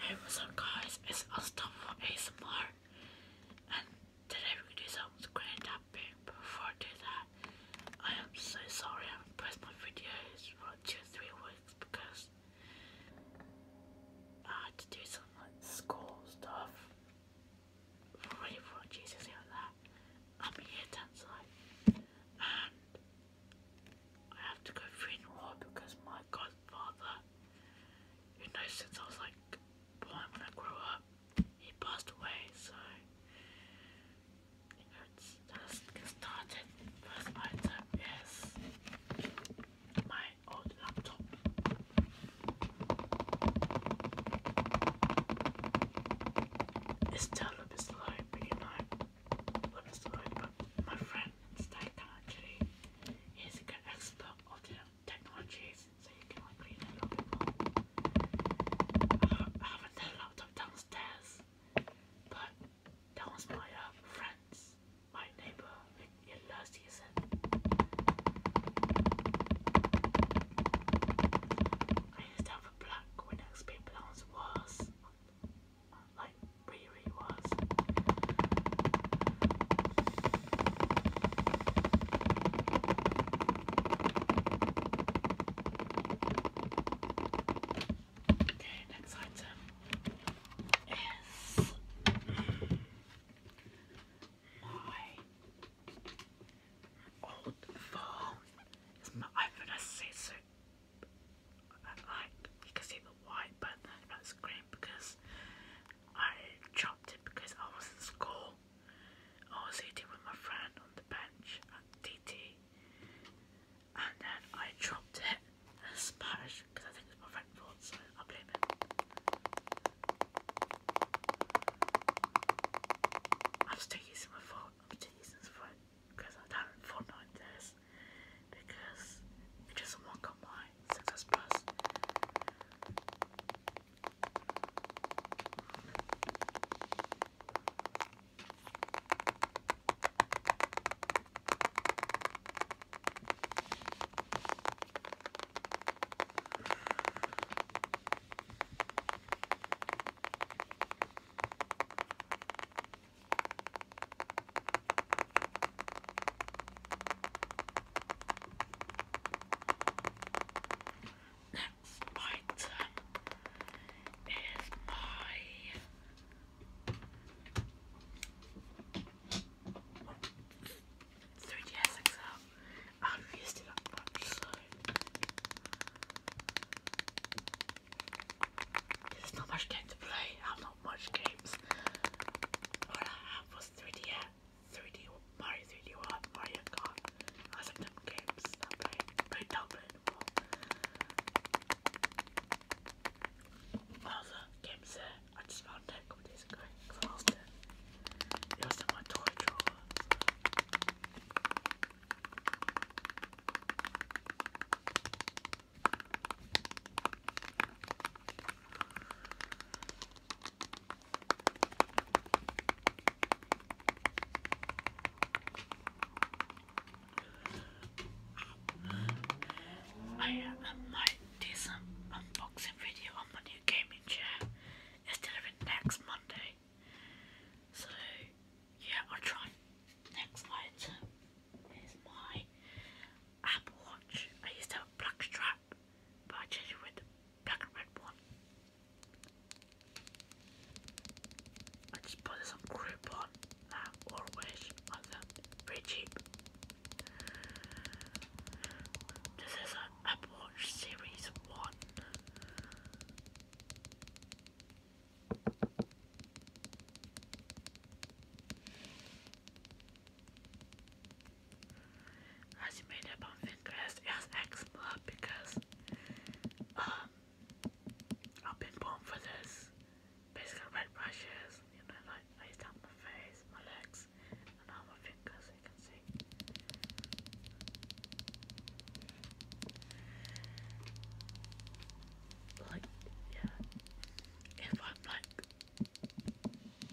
Hey, what's up guys? It's Austin from ASMR and today we're gonna do But before I do that, I am so sorry I haven't my videos for like two three weeks because I had to do some like school stuff. Already for Jesus like that. I'm here tonight. And I have to go through in a because my godfather, You know, since I was like born when I grew up, he passed away, so it hurts. let's get started. First item is my old laptop. It's still a bit you know i my friend Stack actually is a good expert of technologies, so you can like read a I haven't had laptop downstairs, but that was my uh, friend's, my neighbor, who loves to I used to have a black Windows P Plus was like Riri was. Okay, next item is my old phone. It's my iPhone like you can see the white button about the because I chopped it because I was in school. I was eating with my friend on the bench at DT and then I dropped it and because I think it's my friend's fault so I blame him. I'm still using my phone, i phone because I've done Fortnite this because it doesn't work on my success plus. Next item is my three DS XL. I there's not much game to play not games. All I have was 3D, 3D Mario 3D Mario Kart. I was games, play anymore. All the games there, I just found it a couple days ago because I lost it. It was in my toy drawer. I might do some unboxing video on my new gaming chair instead of it next Monday. So yeah, I'll try. Next item is my Apple Watch. I used to have a black strap, but I changed it with the black and red one. I just bought this on Groupon um, or Wish on them. Pretty cheap. This is an Apple Watch Series 1. As you made up on Pinterest, it was because um I've been born for this. Basically red brushes, you know, like lays down my face, my legs, and all my fingers you can see. Like yeah if I'm like,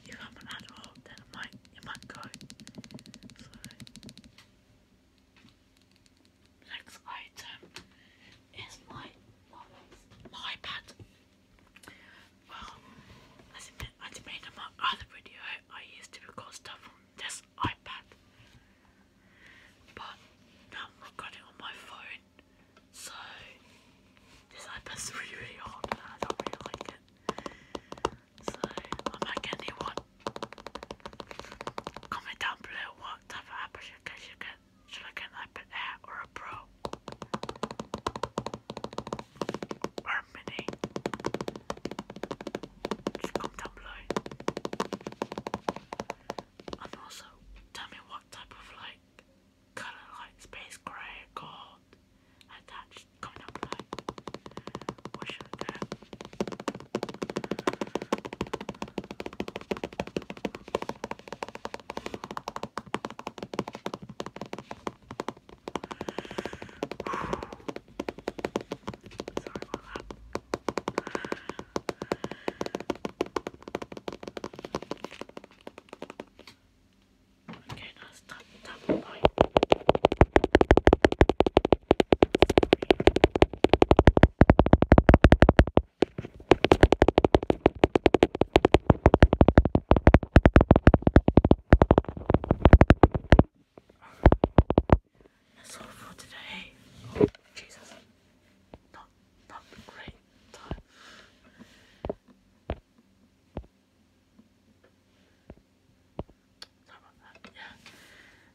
if I'm an adult, then I might, it might go. So, next item is my, iPad. Well, as I, I made in my other video, I used to record stuff on this iPad, but now I've got on my phone. So this iPad's really really hot and I don't really like it. So I might get a Comment down below what type of iPad should I get. Should I get, an iPad Air or a Pro? Or a Mini? Just comment down below. And also tell me what type of like colour like space grey gold attached coming up like what should I get? Sorry about that. Okay, now That's all for today. Oh, Jesus.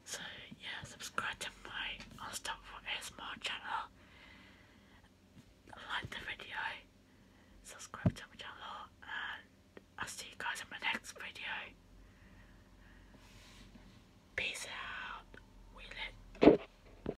So yeah, subscribe to my Unstoppable ASMR channel. Like the video. Subscribe to my channel, and I'll see you guys in my next video. Peace out.